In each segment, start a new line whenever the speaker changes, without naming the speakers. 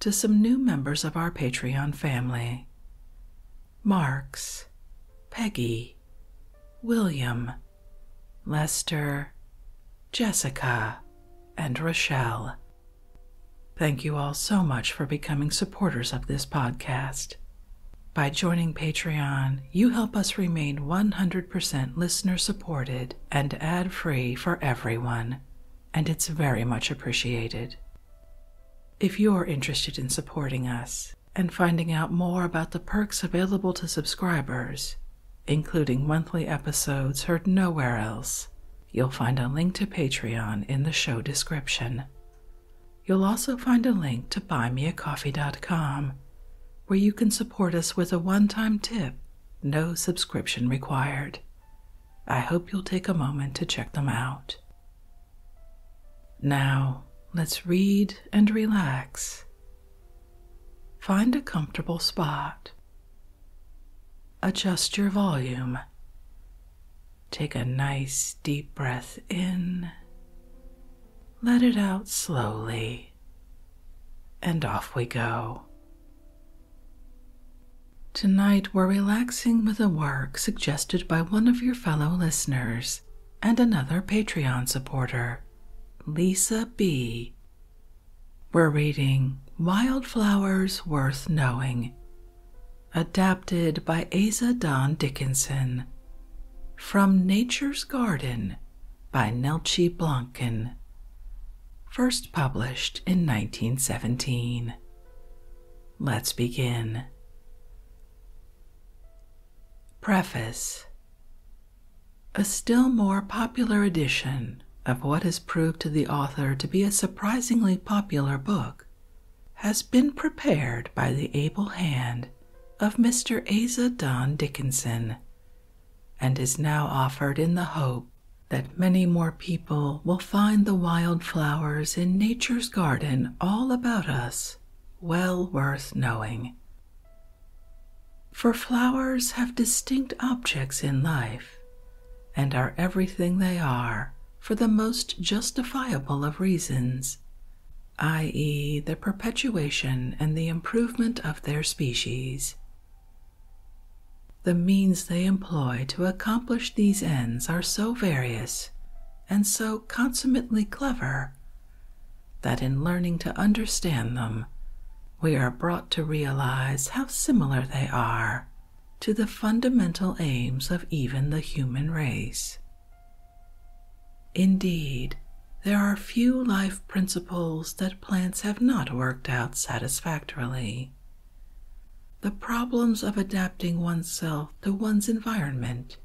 to some new members of our Patreon family Marks, Peggy, William, Lester, Jessica, and Rochelle. Thank you all so much for becoming supporters of this podcast. By joining Patreon, you help us remain 100% listener supported and ad free for everyone, and it's very much appreciated. If you're interested in supporting us and finding out more about the perks available to subscribers, including monthly episodes heard nowhere else, you'll find a link to Patreon in the show description. You'll also find a link to buymeacoffee.com, where you can support us with a one time tip, no subscription required. I hope you'll take a moment to check them out. Now, let's read and relax. Find a comfortable spot. Adjust your volume. Take a nice deep breath in. Let it out slowly. And off we go. Tonight, we're relaxing with a work suggested by one of your fellow listeners and another Patreon supporter, Lisa B. We're reading Wildflowers Worth Knowing, adapted by Asa Don Dickinson, from Nature's Garden by Nelchi Blancken. first published in 1917. Let's begin. Preface A still more popular edition of what has proved to the author to be a surprisingly popular book has been prepared by the able hand of Mr. Asa Don Dickinson and is now offered in the hope that many more people will find the wild flowers in nature's garden all about us well worth knowing. For flowers have distinct objects in life and are everything they are for the most justifiable of reasons, i.e., the perpetuation and the improvement of their species. The means they employ to accomplish these ends are so various and so consummately clever that in learning to understand them, we are brought to realize how similar they are to the fundamental aims of even the human race. Indeed, there are few life principles that plants have not worked out satisfactorily the problems of adapting oneself to one's environment,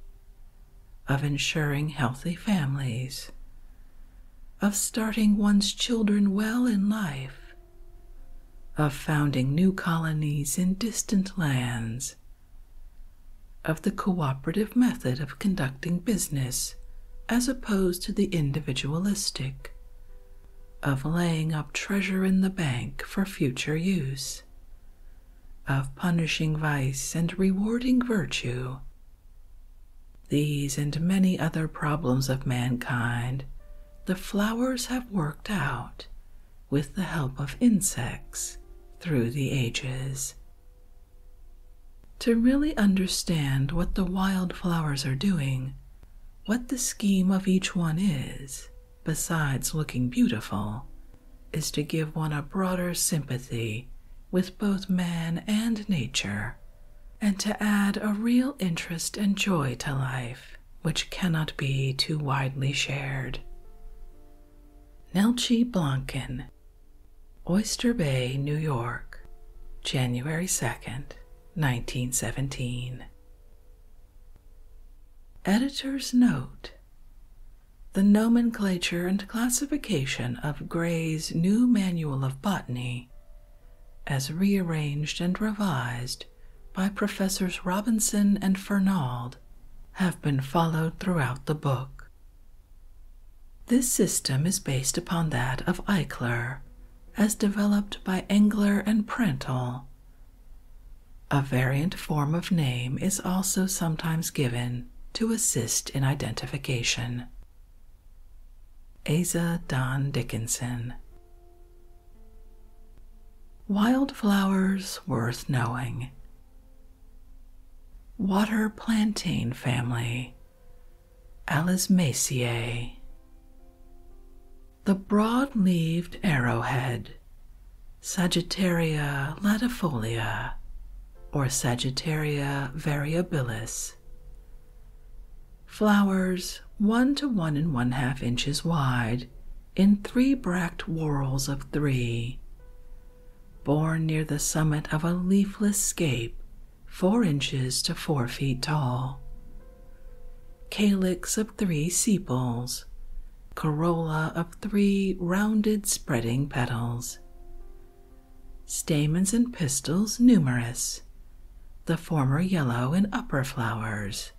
of ensuring healthy families, of starting one's children well in life, of founding new colonies in distant lands, of the cooperative method of conducting business as opposed to the individualistic, of laying up treasure in the bank for future use, of punishing vice and rewarding virtue. These and many other problems of mankind the flowers have worked out with the help of insects through the ages. To really understand what the wildflowers are doing, what the scheme of each one is, besides looking beautiful, is to give one a broader sympathy with both man and nature, and to add a real interest and joy to life which cannot be too widely shared. Nelchi Blanken, Oyster Bay, New York, January 2nd, 1917. Editor's note The nomenclature and classification of Gray's New Manual of Botany, as rearranged and revised by Professors Robinson and Fernald, have been followed throughout the book. This system is based upon that of Eichler, as developed by Engler and Prentl a variant form of name is also sometimes given to assist in identification. Asa Don Dickinson Wildflowers worth knowing. Water plantain family. Alismaceae. The broad leaved arrowhead, Sagittaria latifolia, or Sagittaria variabilis. Flowers one to one and one half inches wide in three bract whorls of three, borne near the summit of a leafless scape four inches to four feet tall, calyx of three sepals, corolla of three rounded spreading petals, stamens and pistils numerous, the former yellow in upper flowers,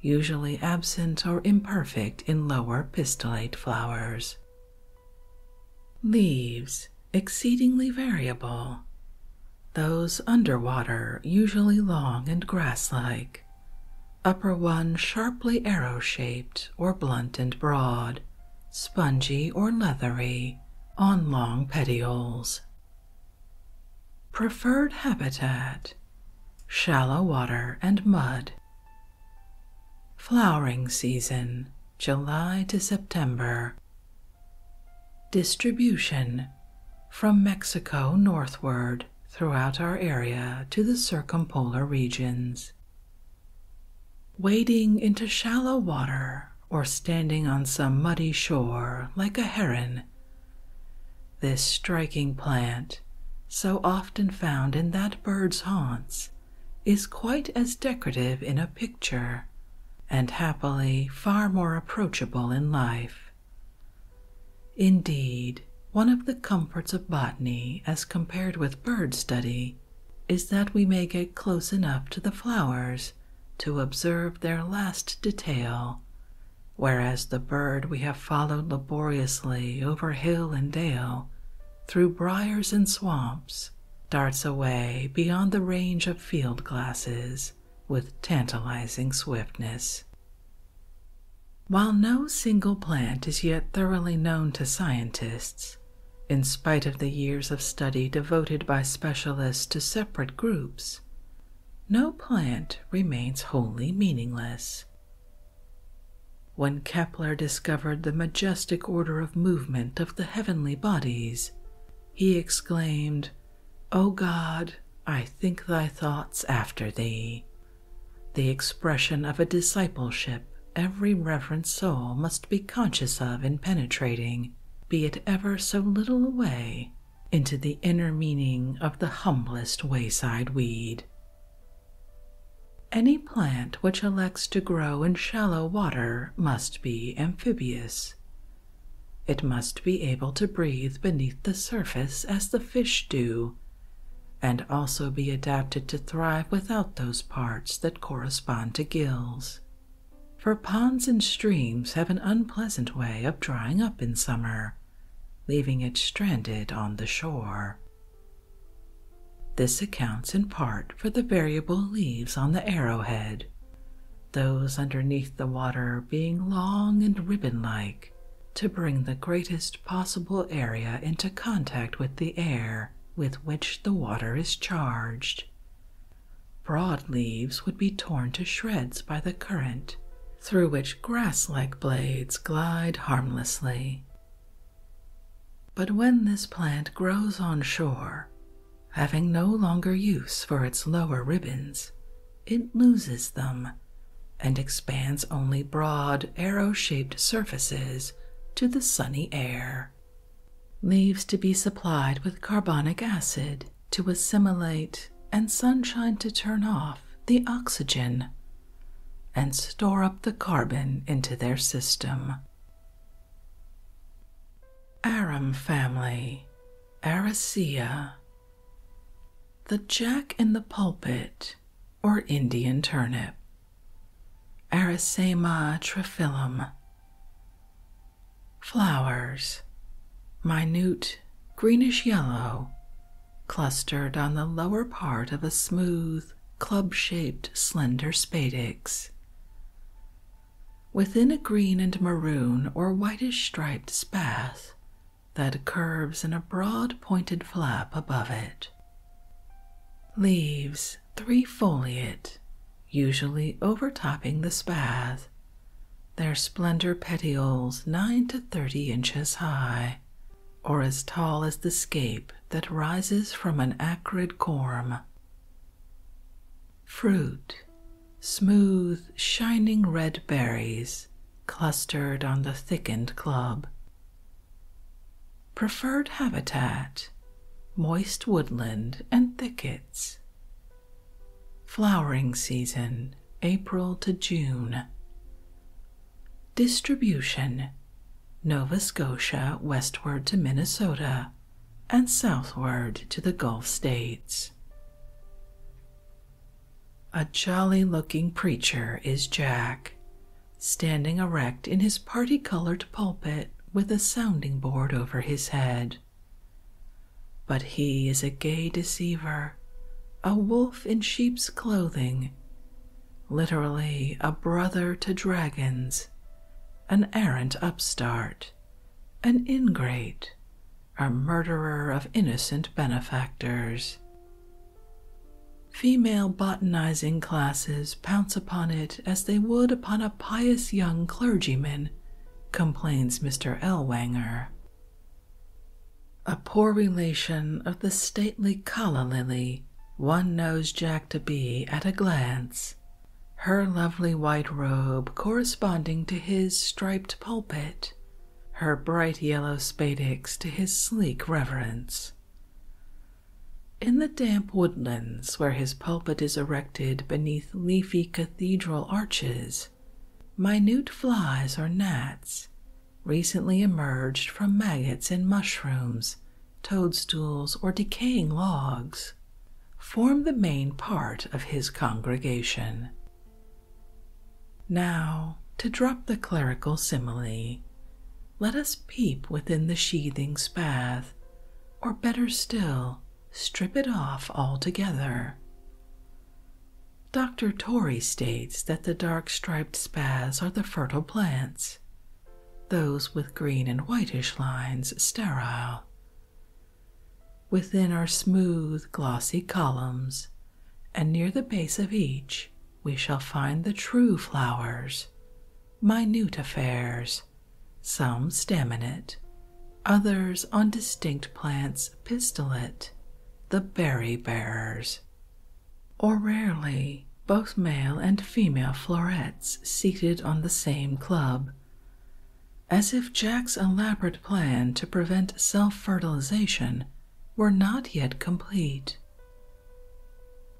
usually absent or imperfect in lower pistillate flowers. Leaves exceedingly variable, those under water usually long and grass like, upper one sharply arrow shaped or blunt and broad, spongy or leathery, on long petioles. Preferred habitat shallow water and mud. Flowering season July to September. Distribution from Mexico northward throughout our area to the circumpolar regions. Wading into shallow water or standing on some muddy shore like a heron, this striking plant, so often found in that bird's haunts, is quite as decorative in a picture and happily far more approachable in life. Indeed, one of the comforts of botany as compared with bird study is that we may get close enough to the flowers to observe their last detail, whereas the bird we have followed laboriously over hill and dale, through briars and swamps, darts away beyond the range of field glasses with tantalizing swiftness. While no single plant is yet thoroughly known to scientists, in spite of the years of study devoted by specialists to separate groups, no plant remains wholly meaningless. When Kepler discovered the majestic order of movement of the heavenly bodies, he exclaimed, O oh God, I think thy thoughts after thee. The expression of a discipleship every reverent soul must be conscious of in penetrating, be it ever so little away, into the inner meaning of the humblest wayside weed. Any plant which elects to grow in shallow water must be amphibious. It must be able to breathe beneath the surface as the fish do, and also be adapted to thrive without those parts that correspond to gills. For ponds and streams have an unpleasant way of drying up in summer, leaving it stranded on the shore. This accounts in part for the variable leaves on the arrowhead, those underneath the water being long and ribbon like, to bring the greatest possible area into contact with the air with which the water is charged. Broad leaves would be torn to shreds by the current, through which grass like blades glide harmlessly. But when this plant grows on shore, having no longer use for its lower ribbons, it loses them and expands only broad, arrow shaped surfaces to the sunny air. Leaves to be supplied with carbonic acid to assimilate and sunshine to turn off the oxygen and store up the carbon into their system. Arum family, Araceae. The jack in the pulpit or Indian turnip, Aracema triphyllum. Flowers, minute greenish yellow, clustered on the lower part of a smooth, club shaped, slender spadix. Within a green and maroon or whitish striped spath that curves in a broad pointed flap above it. Leaves three-foliate, usually overtopping the spath; their slender petioles nine to thirty inches high, or as tall as the scape that rises from an acrid corm. Fruit, smooth, shining red berries clustered on the thickened club. Preferred habitat moist woodland and thickets. Flowering season April to June. Distribution Nova Scotia westward to Minnesota and southward to the Gulf states. A jolly looking preacher is Jack, standing erect in his party colored pulpit with a sounding board over his head. But he is a gay deceiver, a wolf in sheep's clothing, literally a brother to dragons, an arrant upstart, an ingrate, a murderer of innocent benefactors. Female botanizing classes pounce upon it as they would upon a pious young clergyman, complains Mr. Elwanger. A poor relation of the stately calla lily, one knows Jack to be at a glance, her lovely white robe corresponding to his striped pulpit, her bright yellow spadix to his sleek reverence. In the damp woodlands where his pulpit is erected beneath leafy cathedral arches, minute flies or gnats recently emerged from maggots in mushrooms, toadstools, or decaying logs, form the main part of his congregation. Now, to drop the clerical simile, let us peep within the sheathing's bath, or better still, strip it off altogether. Dr. Torrey states that the dark striped spaths are the fertile plants, those with green and whitish lines sterile. Within are smooth, glossy columns and near the base of each we shall find the true flowers, minute affairs, some staminate, others on distinct plants pistillate, the berry bearers. Or rarely, both male and female florets seated on the same club, as if Jack's elaborate plan to prevent self fertilization were not yet complete.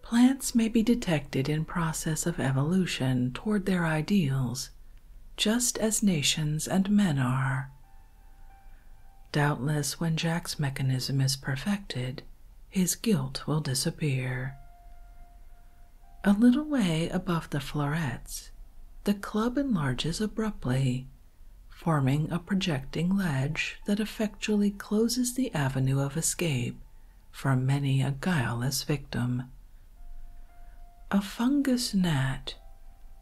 Plants may be detected in process of evolution toward their ideals, just as nations and men are. Doubtless, when Jack's mechanism is perfected, his guilt will disappear. A little way above the florets, the club enlarges abruptly forming a projecting ledge that effectually closes the avenue of escape for many a guileless victim. A fungus gnat,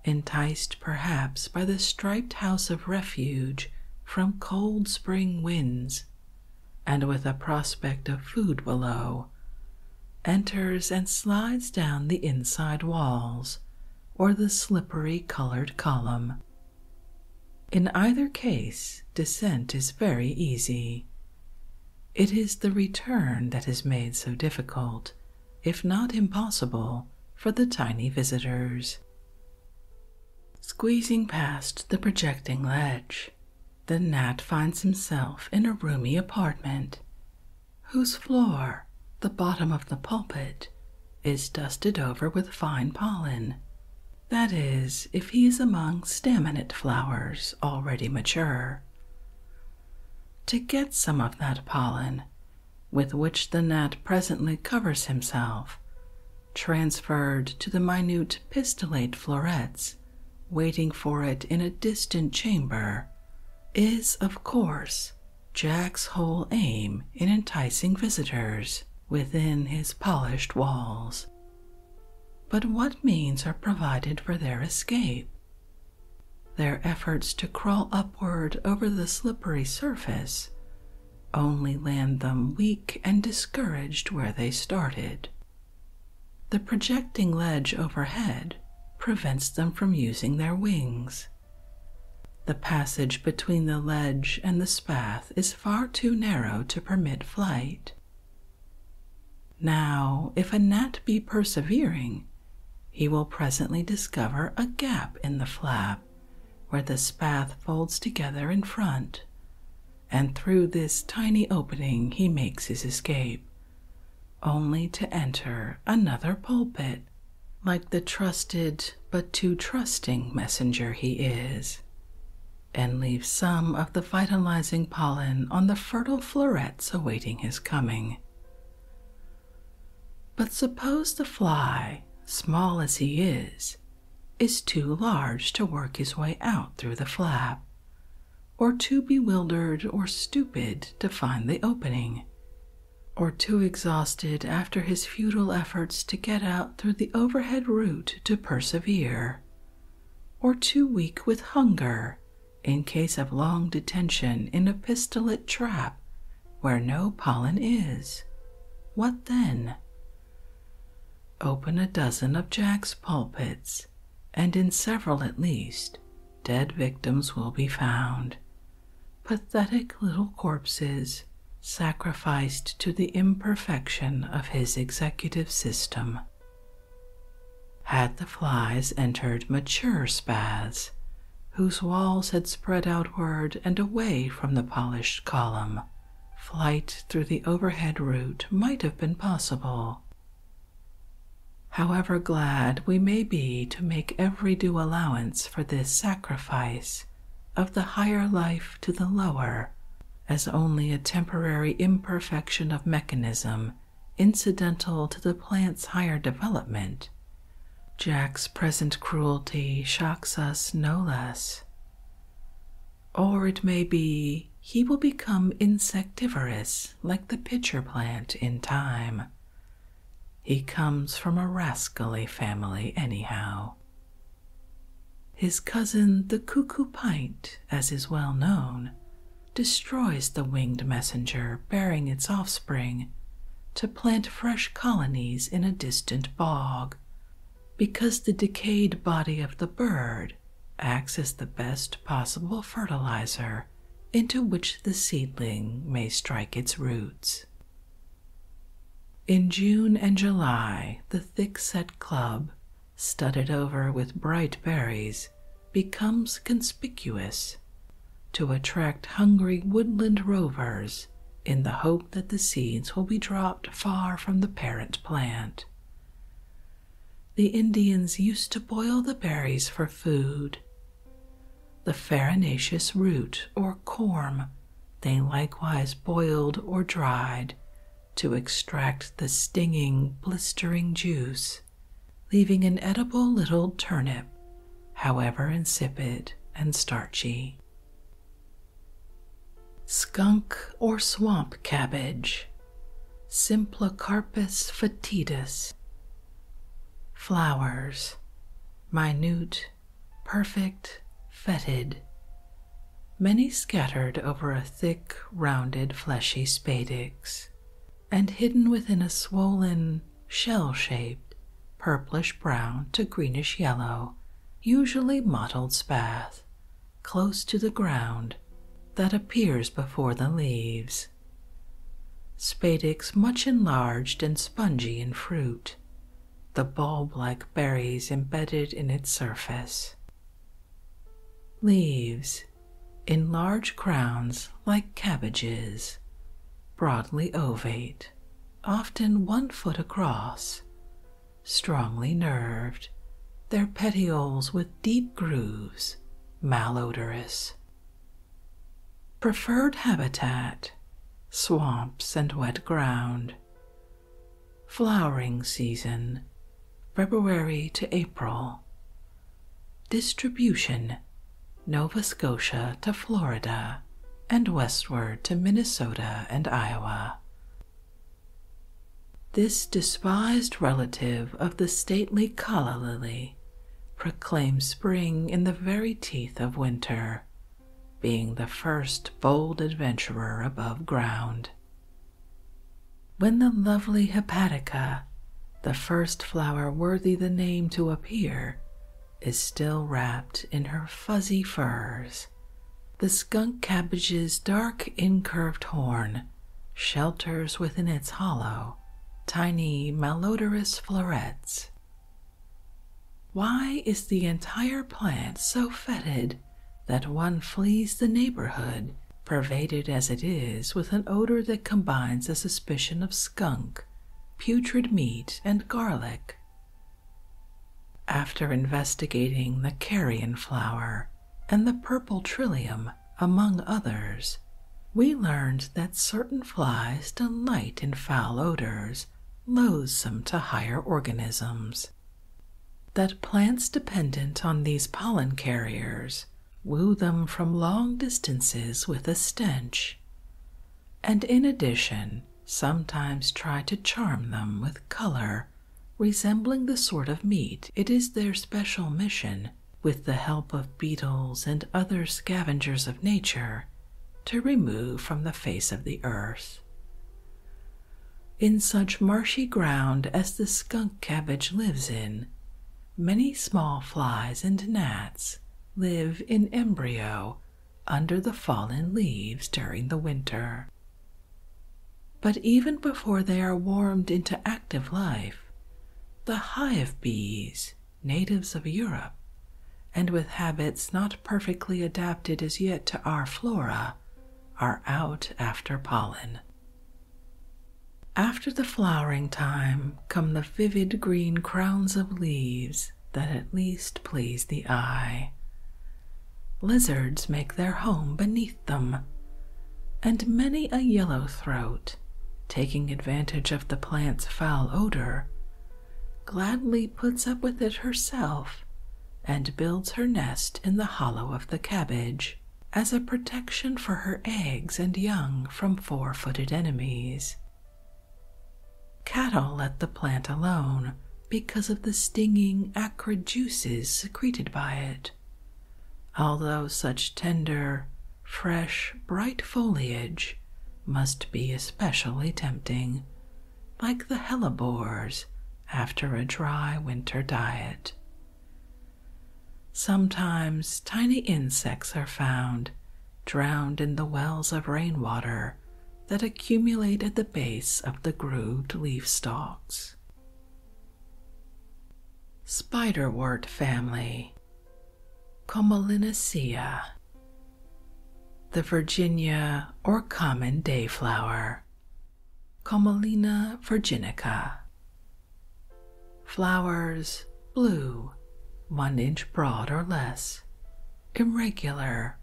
enticed perhaps by the striped house of refuge from cold spring winds, and with a prospect of food below, enters and slides down the inside walls or the slippery colored column. In either case, descent is very easy. It is the return that is made so difficult, if not impossible, for the tiny visitors. Squeezing past the projecting ledge, the gnat finds himself in a roomy apartment, whose floor, the bottom of the pulpit, is dusted over with fine pollen. That is, if he is among staminate flowers already mature. To get some of that pollen, with which the gnat presently covers himself, transferred to the minute pistillate florets waiting for it in a distant chamber, is, of course, Jack's whole aim in enticing visitors within his polished walls. But what means are provided for their escape? Their efforts to crawl upward over the slippery surface only land them weak and discouraged where they started. The projecting ledge overhead prevents them from using their wings, the passage between the ledge and the spath is far too narrow to permit flight. Now, if a gnat be persevering, he will presently discover a gap in the flap where the spath folds together in front, and through this tiny opening he makes his escape, only to enter another pulpit like the trusted but too trusting messenger he is, and leaves some of the vitalizing pollen on the fertile florets awaiting his coming. But suppose the fly, small as he is, is too large to work his way out through the flap, or too bewildered or stupid to find the opening, or too exhausted after his futile efforts to get out through the overhead route to persevere, or too weak with hunger in case of long detention in a pistillate trap where no pollen is. What then? Open a dozen of Jack's pulpits, and in several at least, dead victims will be found pathetic little corpses sacrificed to the imperfection of his executive system. Had the flies entered mature spaths, whose walls had spread outward and away from the polished column, flight through the overhead route might have been possible. However glad we may be to make every due allowance for this sacrifice of the higher life to the lower as only a temporary imperfection of mechanism incidental to the plant's higher development. Jack's present cruelty shocks us no less. Or it may be he will become insectivorous like the pitcher plant in time, he comes from a rascally family, anyhow. His cousin, the cuckoo pint, as is well known, destroys the winged messenger bearing its offspring to plant fresh colonies in a distant bog, because the decayed body of the bird acts as the best possible fertilizer into which the seedling may strike its roots. In June and July, the thick-set club, studded over with bright berries, becomes conspicuous to attract hungry woodland rovers in the hope that the seeds will be dropped far from the parent plant. The Indians used to boil the berries for food the farinaceous root or corm they likewise boiled or dried to extract the stinging, blistering juice, leaving an edible little turnip, however insipid and starchy. Skunk or swamp cabbage, Simplicarpus foetidus. Flowers, minute, perfect, fetid, many scattered over a thick, rounded, fleshy spadix, and hidden within a swollen, shell shaped, purplish brown to greenish yellow, usually mottled spath, close to the ground, that appears before the leaves. Spadix much enlarged and spongy in fruit, the bulb like berries embedded in its surface. Leaves in large crowns like cabbages, broadly ovate, often one foot across, strongly nerved, their petioles with deep grooves, malodorous. Preferred habitat swamps and wet ground. Flowering season February to April. Distribution Nova Scotia to Florida and westward to Minnesota and Iowa. This despised relative of the stately calla lily proclaim spring in the very teeth of winter, being the first bold adventurer above ground. When the lovely hepatica, the first flower worthy the name to appear, is still wrapped in her fuzzy furs, the skunk cabbage's dark incurved horn shelters within its hollow tiny malodorous florets why is the entire plant so fetid that one flees the neighborhood, pervaded as it is with an odor that combines a suspicion of skunk, putrid meat, and garlic? After investigating the carrion flower and the purple trillium, among others, we learned that certain flies delight in foul odors loathsome to higher organisms, that plants dependent on these pollen carriers woo them from long distances with a stench, and in addition sometimes try to charm them with color resembling the sort of meat it is their special mission, with the help of beetles and other scavengers of nature, to remove from the face of the earth. In such marshy ground as the skunk cabbage lives in, many small flies and gnats live in embryo under the fallen leaves during the winter. But even before they are warmed into active life, the hive bees natives of Europe, and with habits not perfectly adapted as yet to our flora, are out after pollen. After the flowering time come the vivid green crowns of leaves that at least please the eye. Lizards make their home beneath them, and many a yellow throat, taking advantage of the plant's foul odor, gladly puts up with it herself and builds her nest in the hollow of the cabbage as a protection for her eggs and young from four footed enemies. Cattle let the plant alone because of the stinging, acrid juices secreted by it. Although such tender, fresh, bright foliage must be especially tempting, like the hellebores after a dry winter diet. Sometimes tiny insects are found drowned in the wells of rainwater that accumulate at the base of the grooved leaf stalks. Spiderwort family Commelinacea, the Virginia or common dayflower, Comelina virginica. Flowers blue, one inch broad or less, irregular,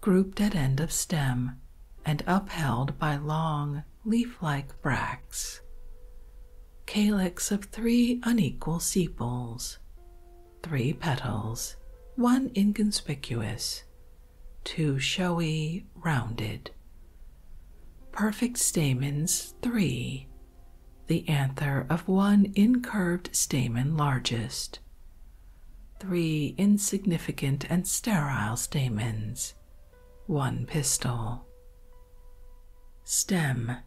grouped at end of stem, and upheld by long leaf like bracts. Calyx of three unequal sepals, three petals, one inconspicuous, two showy, rounded. Perfect stamens, three, the anther of one incurved stamen largest, three insignificant and sterile stamens, one pistil. Stem,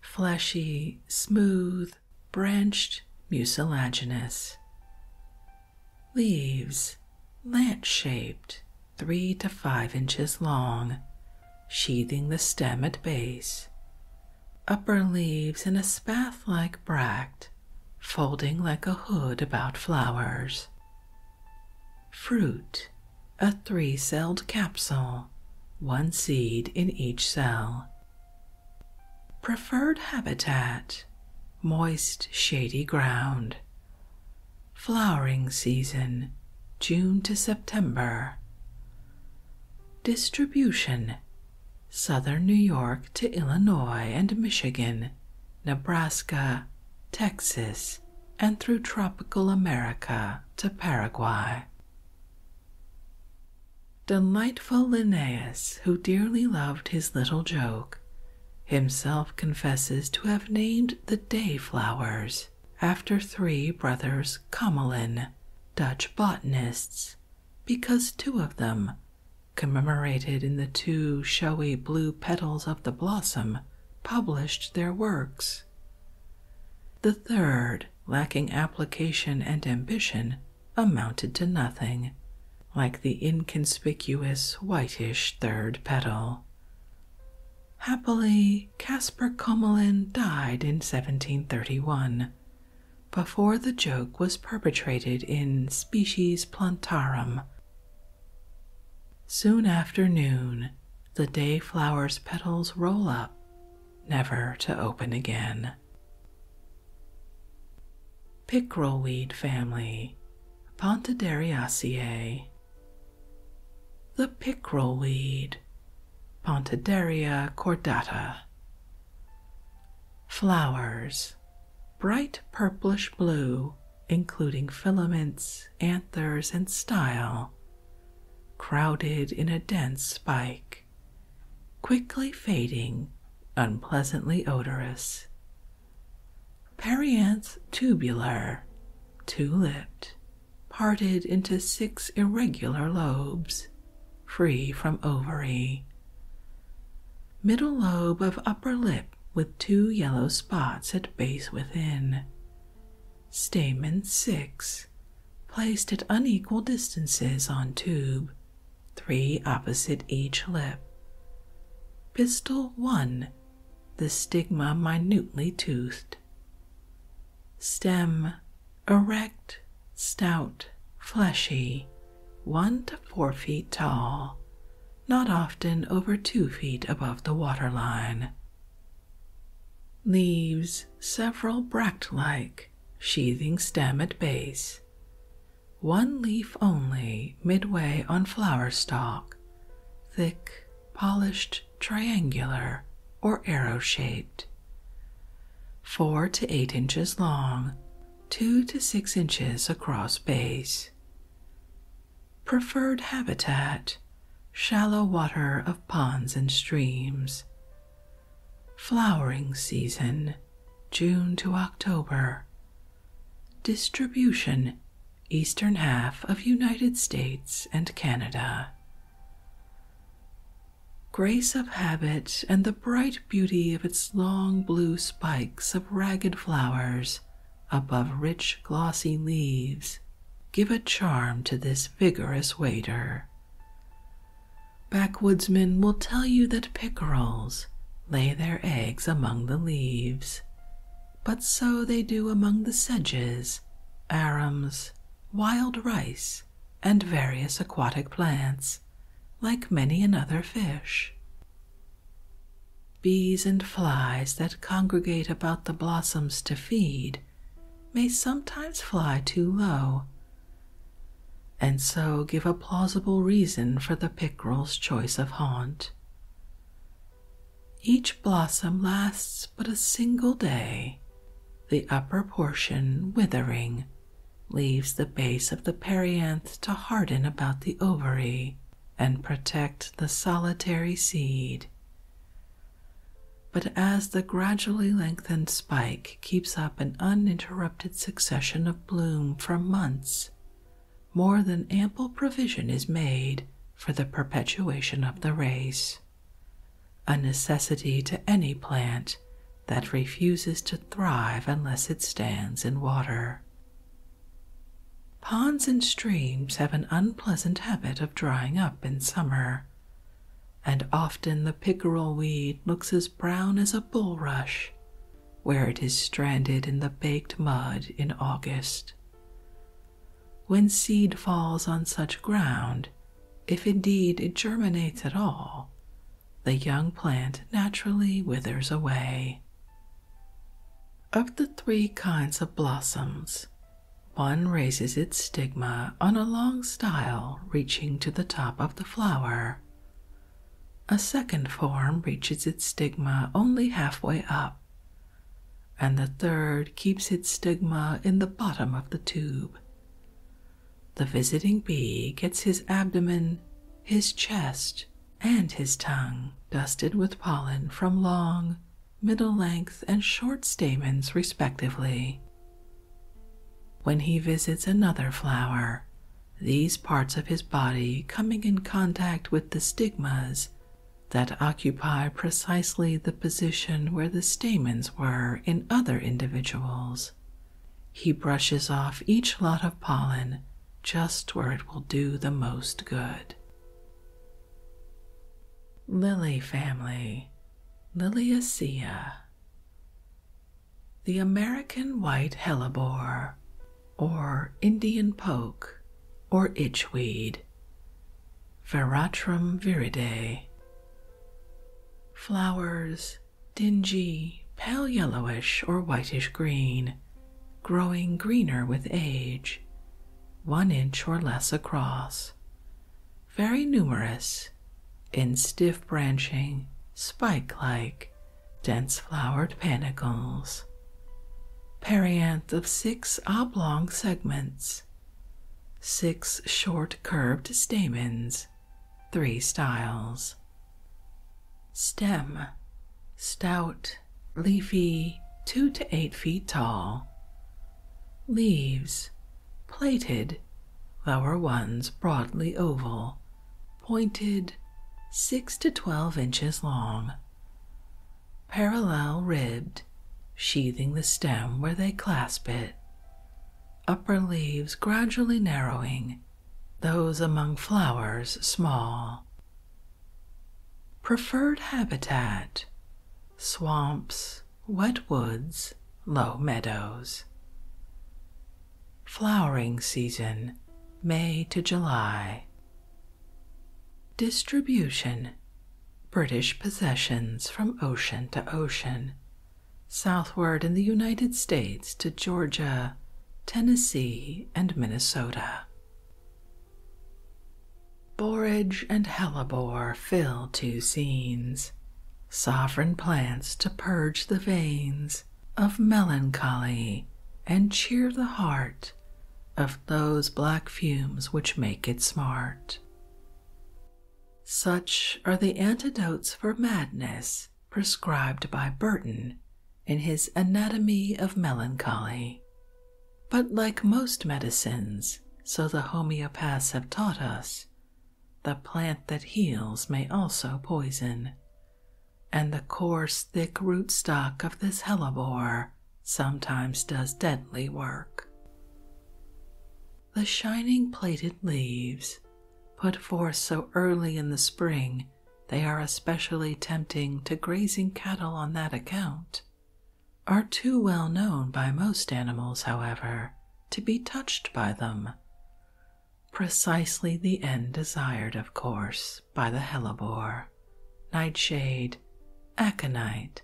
fleshy, smooth, branched mucilaginous. Leaves, lance shaped, three to five inches long, sheathing the stem at base. Upper leaves in a spath like bract, folding like a hood about flowers. Fruit, a three celled capsule, one seed in each cell, Preferred habitat moist, shady ground. Flowering season June to September. Distribution Southern New York to Illinois and Michigan, Nebraska, Texas, and through tropical America to Paraguay. Delightful Linnaeus, who dearly loved his little joke, himself confesses to have named the day flowers after three brothers Comelin, Dutch botanists, because two of them, commemorated in the two showy blue petals of the blossom, published their works. The third, lacking application and ambition, amounted to nothing, like the inconspicuous whitish third petal. Happily, Caspar Comelin died in 1731, before the joke was perpetrated in Species Plantarum. Soon after noon, the day flower's petals roll up, never to open again. Pickerelweed family, Pontederiaceae. The pickerelweed, Pontederia cordata. Flowers, bright purplish blue, including filaments, anthers, and style, crowded in a dense spike quickly fading, unpleasantly odorous. Perianth tubular, two lipped, parted into six irregular lobes, free from ovary. Middle lobe of upper lip with two yellow spots at base within. Stamen six, placed at unequal distances on tube, three opposite each lip. Pistil 1, the stigma minutely toothed. Stem erect, stout, fleshy, one to four feet tall, not often over two feet above the water line. Leaves several bract like sheathing stem at base, one leaf only midway on flower stalk, thick, polished, triangular, or arrow shaped. Four to eight inches long, two to six inches across base. Preferred habitat shallow water of ponds and streams, Flowering season June to October. Distribution Eastern half of United States and Canada. Grace of habit and the bright beauty of its long blue spikes of ragged flowers above rich glossy leaves give a charm to this vigorous wader. Backwoodsmen will tell you that pickerels lay their eggs among the leaves, but so they do among the sedges, arums, wild rice, and various aquatic plants, like many another fish. Bees and flies that congregate about the blossoms to feed may sometimes fly too low and so give a plausible reason for the pickerel's choice of haunt. Each blossom lasts but a single day, the upper portion withering leaves the base of the perianth to harden about the ovary and protect the solitary seed. But as the gradually lengthened spike keeps up an uninterrupted succession of bloom for months, more than ample provision is made for the perpetuation of the race, a necessity to any plant that refuses to thrive unless it stands in water. Ponds and streams have an unpleasant habit of drying up in summer and often the pickerel weed looks as brown as a bulrush where it is stranded in the baked mud in August. When seed falls on such ground, if indeed it germinates at all, the young plant naturally withers away. Of the three kinds of blossoms, one raises its stigma on a long style reaching to the top of the flower. A second form reaches its stigma only halfway up, and the third keeps its stigma in the bottom of the tube. The visiting bee gets his abdomen, his chest, and his tongue dusted with pollen from long, middle length, and short stamens, respectively. When he visits another flower, these parts of his body coming in contact with the stigmas that occupy precisely the position where the stamens were in other individuals, he brushes off each lot of pollen just where it will do the most good. Lily family, Liliacea. The American white hellebore, or Indian poke, or itchweed, Veratrum viridae. Flowers dingy, pale yellowish or whitish green, growing greener with age, one inch or less across, very numerous, in stiff branching, spike like, dense flowered panicles. Perianth of six oblong segments, six short curved stamens, three styles. Stem stout, leafy, two to eight feet tall. Leaves plated, lower ones broadly oval, pointed, 6 to 12 inches long, parallel ribbed, sheathing the stem where they clasp it, upper leaves gradually narrowing, those among flowers small. Preferred habitat swamps, wet woods, low meadows. Flowering season, May to July. Distribution British possessions from ocean to ocean, southward in the United States to Georgia, Tennessee, and Minnesota. Borage and hellebore fill two scenes, sovereign plants to purge the veins of melancholy and cheer the heart of those black fumes which make it smart. Such are the antidotes for madness prescribed by Burton in his Anatomy of Melancholy. But like most medicines, so the homeopaths have taught us, the plant that heals may also poison, and the coarse, thick rootstock of this hellebore sometimes does deadly work. The shining plaited leaves, put forth so early in the spring, they are especially tempting to grazing cattle on that account, are too well known by most animals, however, to be touched by them precisely the end desired, of course, by the hellebore, nightshade, aconite,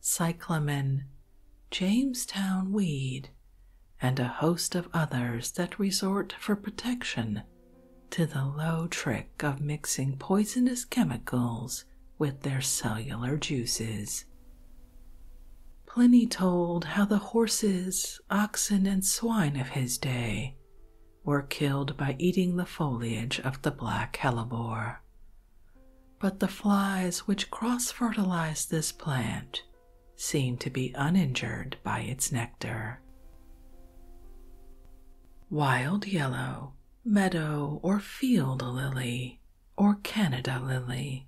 cyclamen, Jamestown weed, and a host of others that resort for protection to the low trick of mixing poisonous chemicals with their cellular juices. Pliny told how the horses, oxen, and swine of his day were killed by eating the foliage of the black hellebore. But the flies which cross fertilize this plant seem to be uninjured by its nectar. Wild yellow, meadow or field lily, or Canada lily,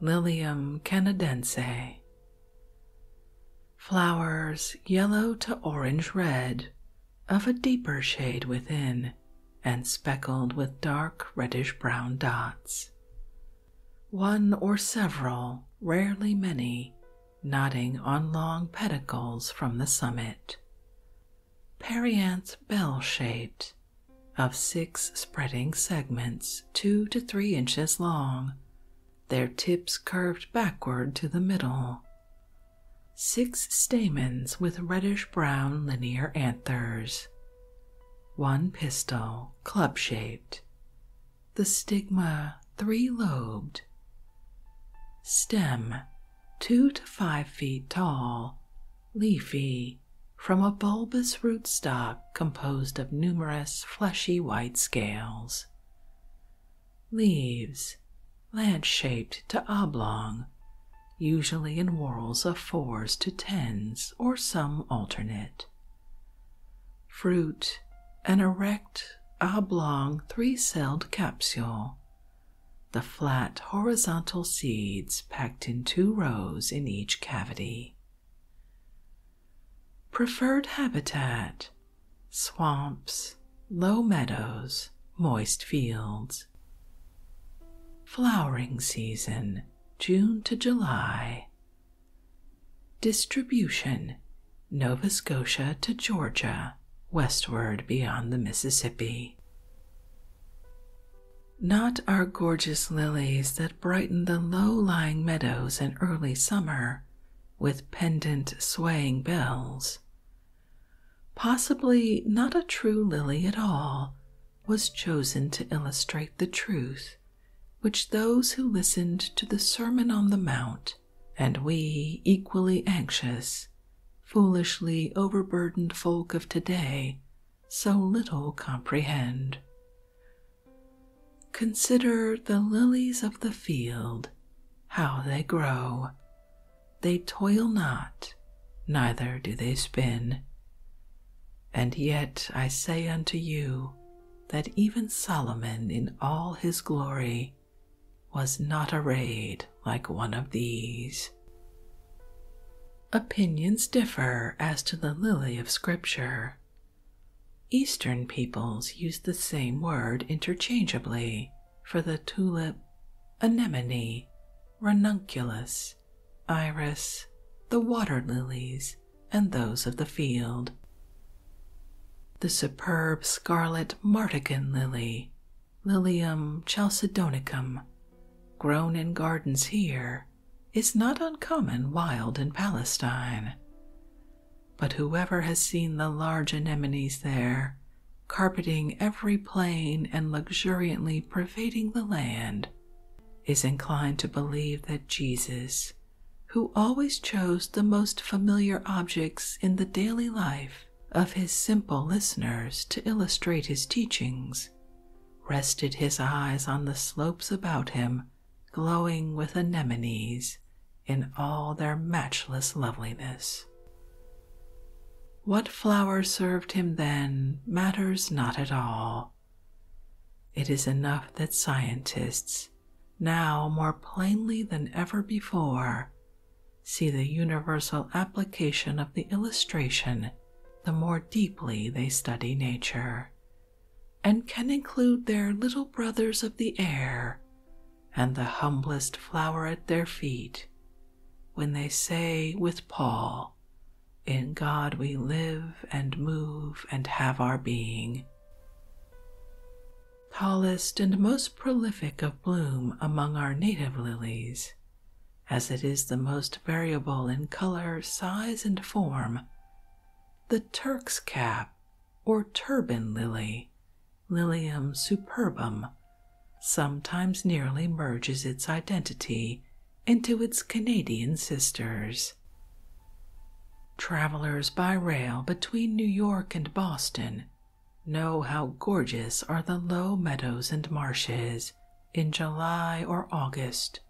Lilium canadense. Flowers yellow to orange red, of a deeper shade within, and speckled with dark reddish brown dots. One or several, rarely many, nodding on long pedicels from the summit. Perianth bell shaped, of six spreading segments two to three inches long, their tips curved backward to the middle. Six stamens with reddish brown linear anthers. One pistil, club shaped. The stigma, three lobed. Stem, two to five feet tall, leafy, from a bulbous rootstock composed of numerous fleshy white scales. Leaves, lance shaped to oblong, usually in whorls of fours to tens or some alternate. Fruit, an erect, oblong, three celled capsule. The flat horizontal seeds packed in two rows in each cavity. Preferred habitat swamps, low meadows, moist fields. Flowering season June to July. Distribution Nova Scotia to Georgia, westward beyond the Mississippi not our gorgeous lilies that brighten the low lying meadows in early summer with pendent, swaying bells. Possibly not a true lily at all was chosen to illustrate the truth which those who listened to the Sermon on the Mount, and we, equally anxious, foolishly overburdened folk of today, so little comprehend. Consider the lilies of the field, how they grow. They toil not, neither do they spin. And yet I say unto you that even Solomon in all his glory was not arrayed like one of these. Opinions differ as to the lily of Scripture. Eastern peoples use the same word interchangeably for the tulip, anemone, ranunculus, iris, the water lilies, and those of the field. The superb scarlet martagon lily, Lilium chalcedonicum, grown in gardens here is not uncommon wild in Palestine. But whoever has seen the large anemones there, carpeting every plain and luxuriantly pervading the land, is inclined to believe that Jesus, who always chose the most familiar objects in the daily life of his simple listeners to illustrate his teachings, rested his eyes on the slopes about him glowing with anemones in all their matchless loveliness. What flower served him then matters not at all. It is enough that scientists, now more plainly than ever before, see the universal application of the illustration the more deeply they study nature and can include their little brothers of the air and the humblest flower at their feet when they say with Paul, In God we live and move and have our being. Tallest and most prolific of bloom among our native lilies, as it is the most variable in color, size, and form the Turk's cap or turban lily, Lilium superbum, sometimes nearly merges its identity into its Canadian sisters. Travelers by rail between New York and Boston know how gorgeous are the low meadows and marshes in July or August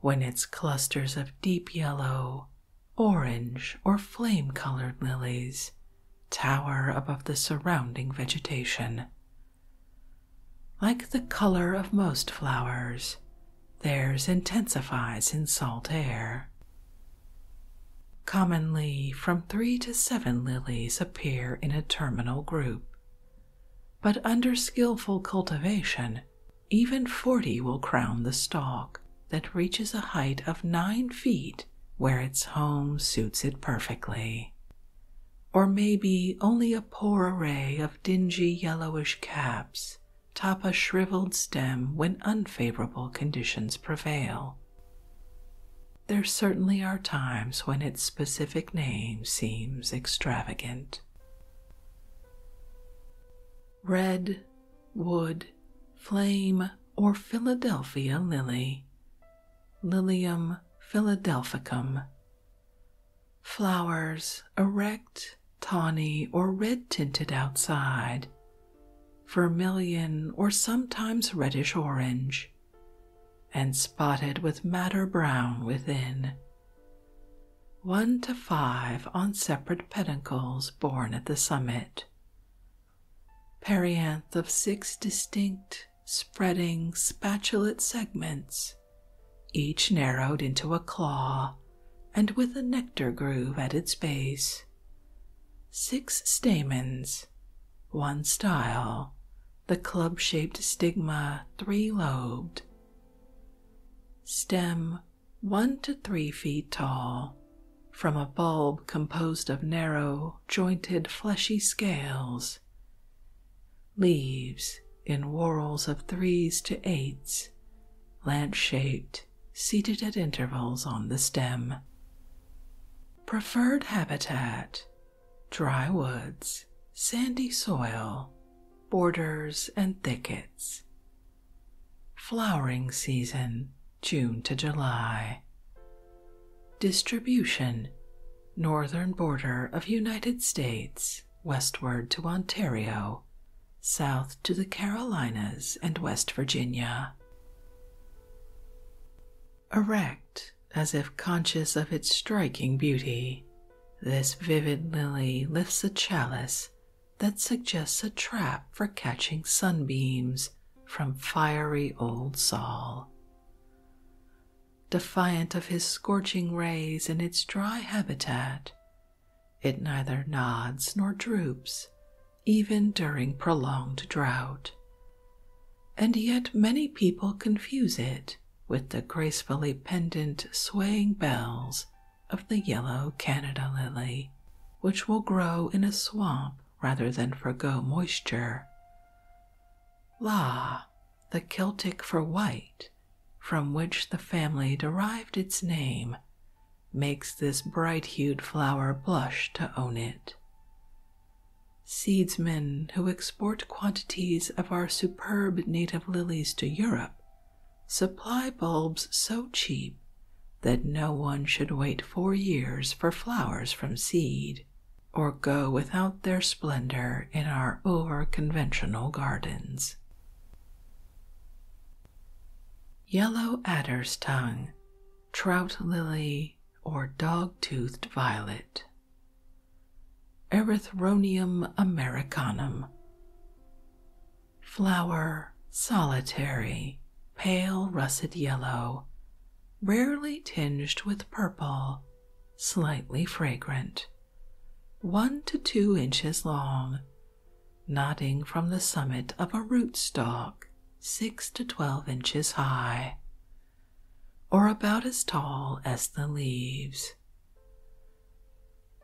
when its clusters of deep yellow, orange, or flame colored lilies tower above the surrounding vegetation. Like the color of most flowers, theirs intensifies in salt air. Commonly, from three to seven lilies appear in a terminal group, but under skillful cultivation, even forty will crown the stalk that reaches a height of nine feet where its home suits it perfectly. Or maybe only a poor array of dingy yellowish caps top a shriveled stem when unfavorable conditions prevail. There certainly are times when its specific name seems extravagant. Red, wood, flame, or Philadelphia lily, Lilium philadelphicum. Flowers erect, tawny, or red tinted outside, vermilion or sometimes reddish orange, and spotted with madder brown within one to five on separate peduncles borne at the summit. Perianth of six distinct, spreading, spatulate segments, each narrowed into a claw and with a nectar groove at its base. Six stamens, one style, the club shaped stigma three lobed, Stem 1 to 3 feet tall, from a bulb composed of narrow, jointed, fleshy scales. Leaves in whorls of threes to eights, lance shaped, seated at intervals on the stem. Preferred habitat dry woods, sandy soil, borders, and thickets. Flowering season June to July. Distribution Northern border of United States, westward to Ontario, south to the Carolinas and West Virginia. Erect, as if conscious of its striking beauty, this vivid lily lifts a chalice that suggests a trap for catching sunbeams from fiery old Sol. Defiant of his scorching rays in its dry habitat, it neither nods nor droops, even during prolonged drought. And yet many people confuse it with the gracefully pendent, swaying bells of the yellow Canada lily, which will grow in a swamp rather than forego moisture. La, the Celtic for white, from which the family derived its name, makes this bright hued flower blush to own it. Seedsmen who export quantities of our superb native lilies to Europe Supply bulbs so cheap that no one should wait four years for flowers from seed, or go without their splendor in our over conventional gardens. Yellow adder's tongue, trout lily, or dog toothed violet. Erythronium americanum, Flower solitary, pale russet yellow, rarely tinged with purple, slightly fragrant, one to two inches long, nodding from the summit of a rootstock six to twelve inches high, or about as tall as the leaves.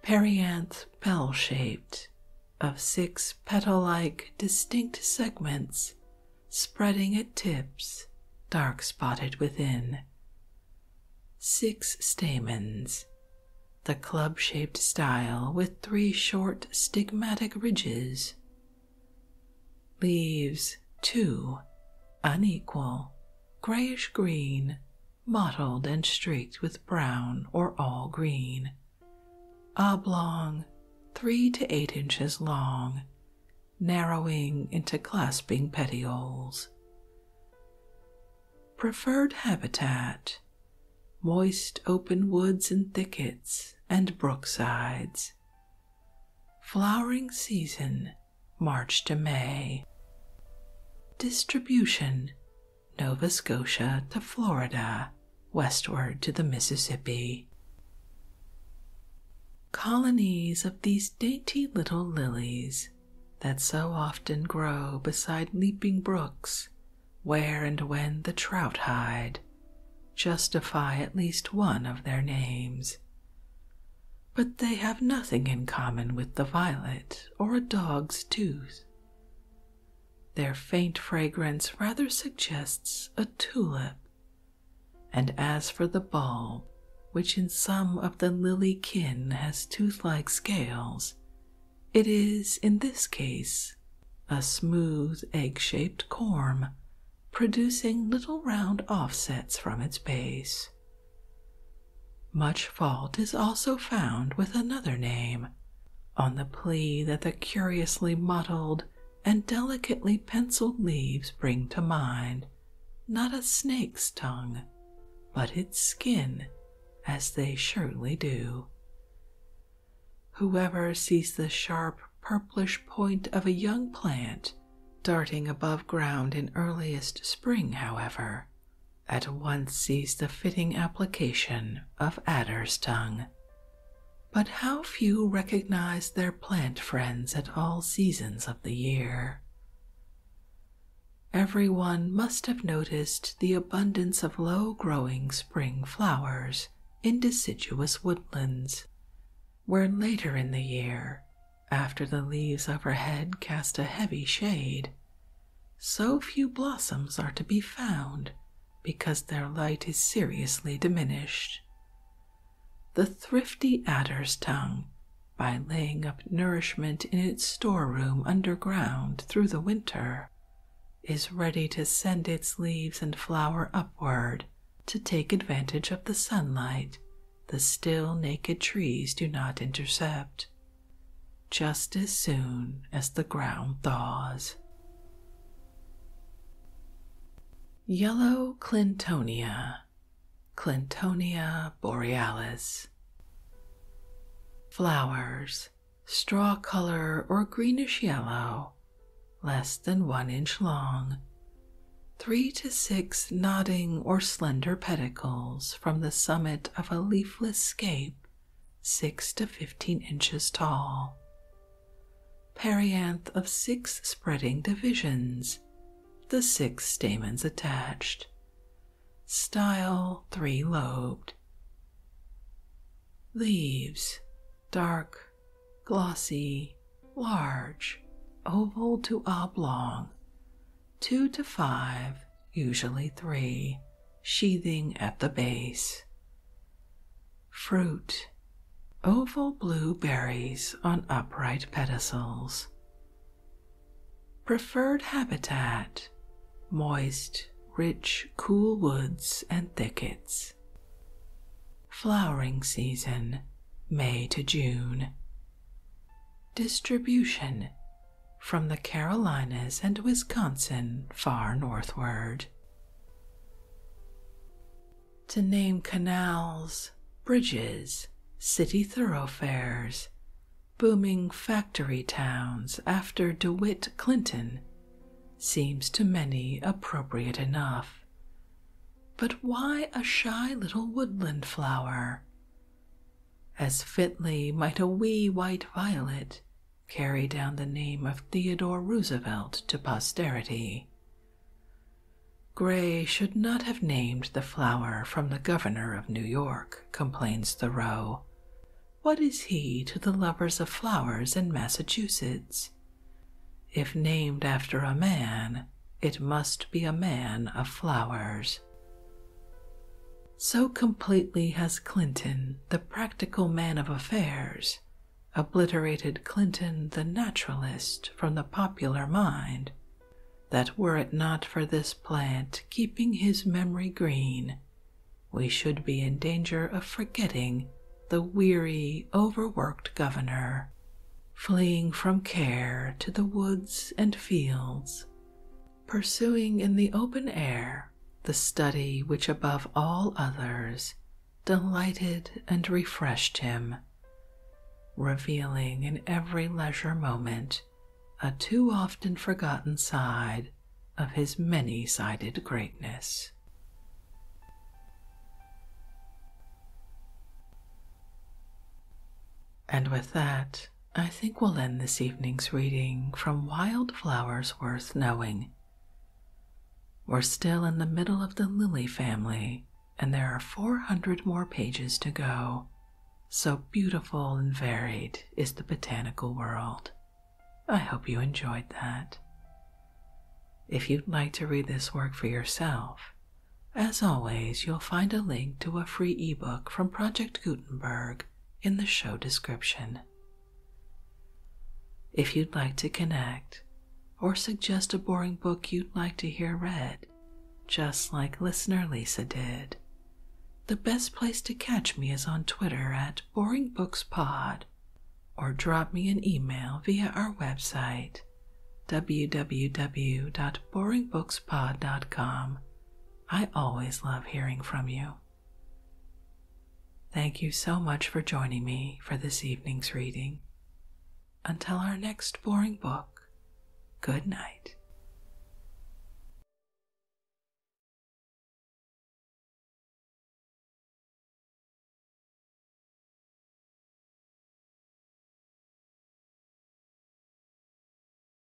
Perianth bell shaped, of six petal like distinct segments spreading at tips, dark spotted within. Six stamens, the club shaped style with three short stigmatic ridges. Leaves, two, unequal, grayish green mottled and streaked with brown or all green, oblong, three to eight inches long, narrowing into clasping petioles. Preferred habitat moist open woods and thickets and brook sides. Flowering season March to May. Distribution Nova Scotia to Florida, westward to the Mississippi. Colonies of these dainty little lilies that so often grow beside leaping brooks, where and when the trout hide, justify at least one of their names. But they have nothing in common with the violet or a dog's tooth. Their faint fragrance rather suggests a tulip, and as for the bulb, which in some of the lily kin has tooth like scales, it is in this case a smooth egg shaped corm producing little round offsets from its base. Much fault is also found with another name, on the plea that the curiously mottled and delicately penciled leaves bring to mind not a snake's tongue, but its skin, as they surely do. Whoever sees the sharp purplish point of a young plant darting above ground in earliest spring, however, at once sees the fitting application of adder's tongue. But how few recognize their plant friends at all seasons of the year. Every one must have noticed the abundance of low growing spring flowers in deciduous woodlands, where later in the year, after the leaves overhead cast a heavy shade, so few blossoms are to be found because their light is seriously diminished. The thrifty adder's tongue, by laying up nourishment in its storeroom underground through the winter, is ready to send its leaves and flower upward to take advantage of the sunlight the still naked trees do not intercept just as soon as the ground thaws. Yellow Clintonia, Clintonia borealis. Flowers, straw color or greenish yellow, less than one inch long, three to six nodding or slender pedicels from the summit of a leafless scape, six to fifteen inches tall. Perianth of six spreading divisions, the six stamens attached. Style three lobed. Leaves dark, glossy, large, oval to oblong, two to five, usually three, sheathing at the base. Fruit oval blue berries on upright pedicels. Preferred habitat moist, rich, cool woods and thickets. Flowering season May to June. Distribution from the Carolinas and Wisconsin far northward. To name canals, bridges, city thoroughfares, booming factory towns after DeWitt Clinton seems to many appropriate enough. But why a shy little woodland flower? As fitly might a wee white violet carry down the name of Theodore Roosevelt to posterity. Gray should not have named the flower from the governor of New York, complains Thoreau. What is he to the lovers of flowers in Massachusetts? If named after a man, it must be a man of flowers. So completely has Clinton, the practical man of affairs, obliterated Clinton the naturalist from the popular mind that were it not for this plant keeping his memory green, we should be in danger of forgetting the weary, overworked governor, fleeing from care to the woods and fields, pursuing in the open air the study which above all others delighted and refreshed him, revealing in every leisure moment a too often forgotten side of his many sided greatness. And with that, I think we'll end this evening's reading from Wild Flowers Worth Knowing. We're still in the middle of the lily family, and there are 400 more pages to go. So beautiful and varied is the botanical world. I hope you enjoyed that. If you'd like to read this work for yourself, as always, you'll find a link to a free ebook from Project Gutenberg in the show description. If you'd like to connect or suggest a boring book you'd like to hear read, just like listener Lisa did, the best place to catch me is on Twitter at BoringBooksPod or drop me an email via our website www.boringbookspod.com I always love hearing from you. Thank you so much for joining me for this evening's reading. Until our next boring book, good night.